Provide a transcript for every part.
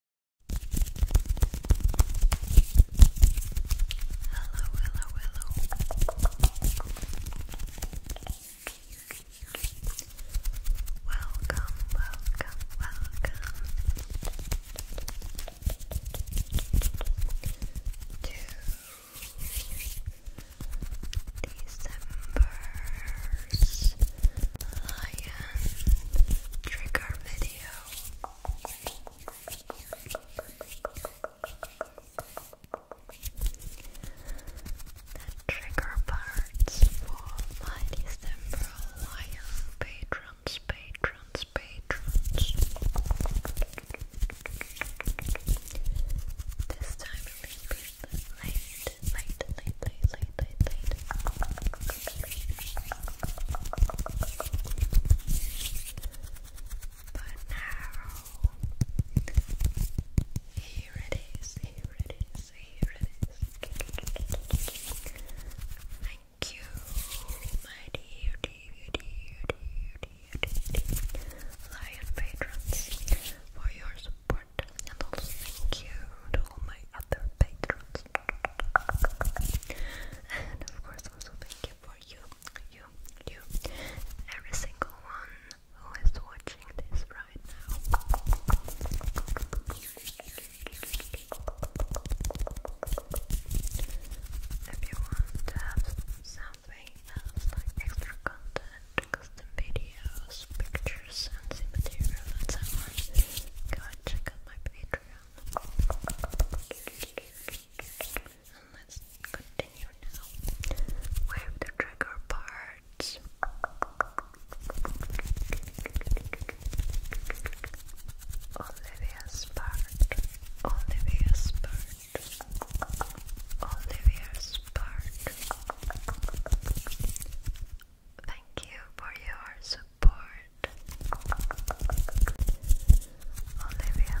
Hello, hello, Welcome, welcome, welcome to December's Lion Trigger video trigger parts for my December Lion patrons, patrons, patrons. This time it late, late, late, late, late, late, late. But now, here it is, here it is, here it is. Thank you, my dear, dear, dear, dear, dear, dear, dear patrons, for your support. And also thank you to all my other patrons and of course also thank you for you, you, you, every single one who is watching this right now. If you want to have something like extra content, custom videos, pictures, and material and so go and check out my page crown. And let's continue now the trigger parts. Olivia's part. Olivia's part. Olivia's part. Thank you for your support, Olivia.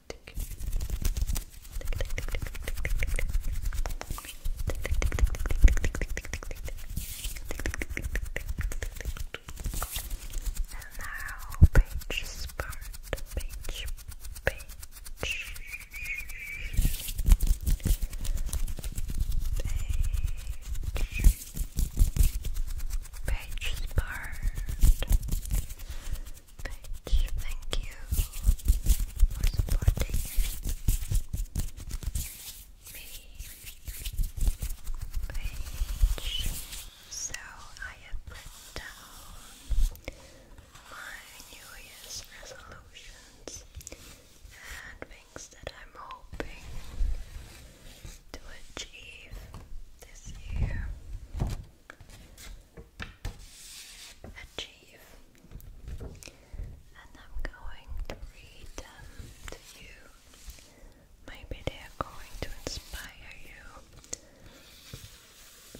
And now page part, page, page, page, page Bitch, thank you for supporting me. Bitch. So I have put down my New Year's resolutions and things that I'm hoping to achieve this year achieve. And I'm going to read them um, to you. Maybe they are going to inspire you.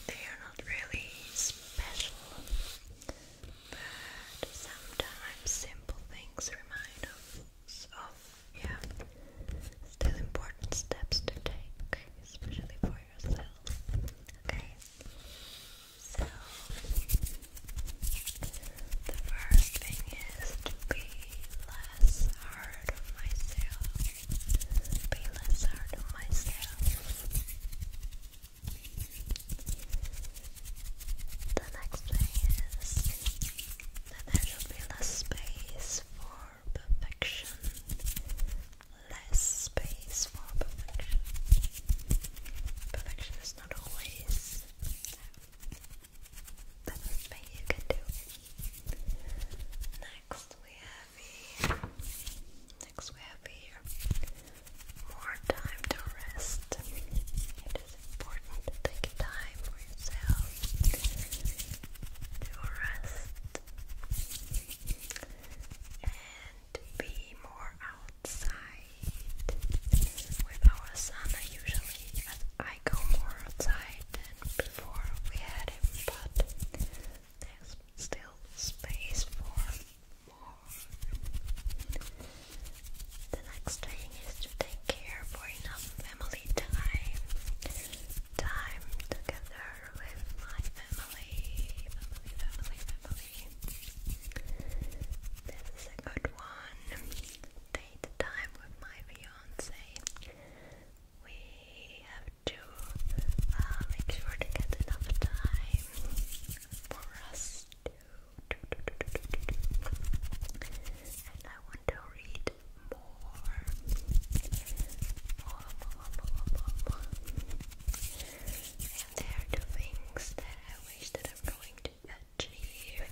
They are not really special, but sometimes simple things remind us of yeah, still important steps to take, especially for as well. Okay, so the first thing is to be less hard on myself. Be less hard on myself. The next thing is that there should be less space for perfection less space for perfection. Perfection is not always the best thing you can do. Next we have here. Next we have here more time to rest. It is important to take time for yourself to rest to be more outside with our son usually, I go more outside than before we had him, but there's still space for more. The next thing is to take care for enough family time, time together with my family. This is a good one. Date time with my fiance. We have to uh, make sure to get enough time for us to. And I want to read more. And are the things that I wish that I'm going to achieve.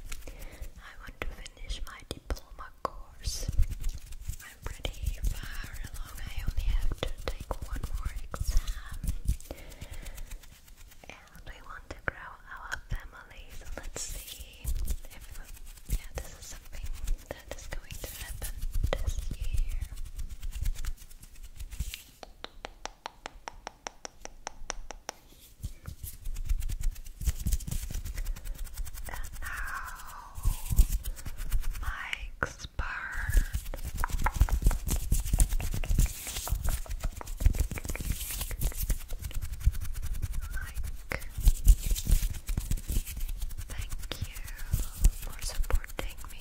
I want to finish my diploma course. I'm pretty far along. I only have to take one more exam. And we want to grow our family, so let's see if yeah, this is something that is going to happen this year. And now, Mike's bird. Mike, thank you for supporting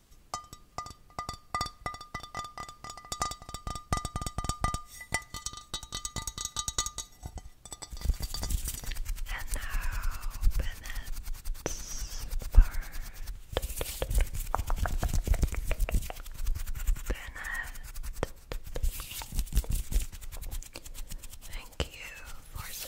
And now Bennett's part. Bennett, thank you for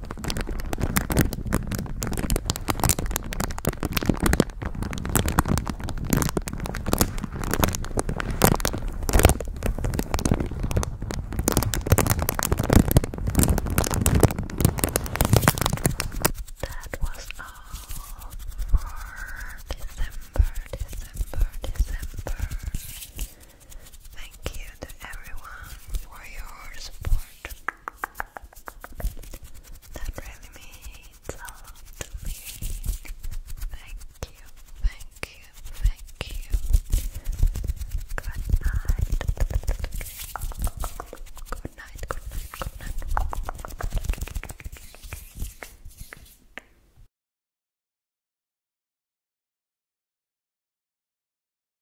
That was all for December, December, December. Thank you to everyone for your support. That really means a lot to me. Thank you, thank you, thank you. Good night. Good night, good night, good night.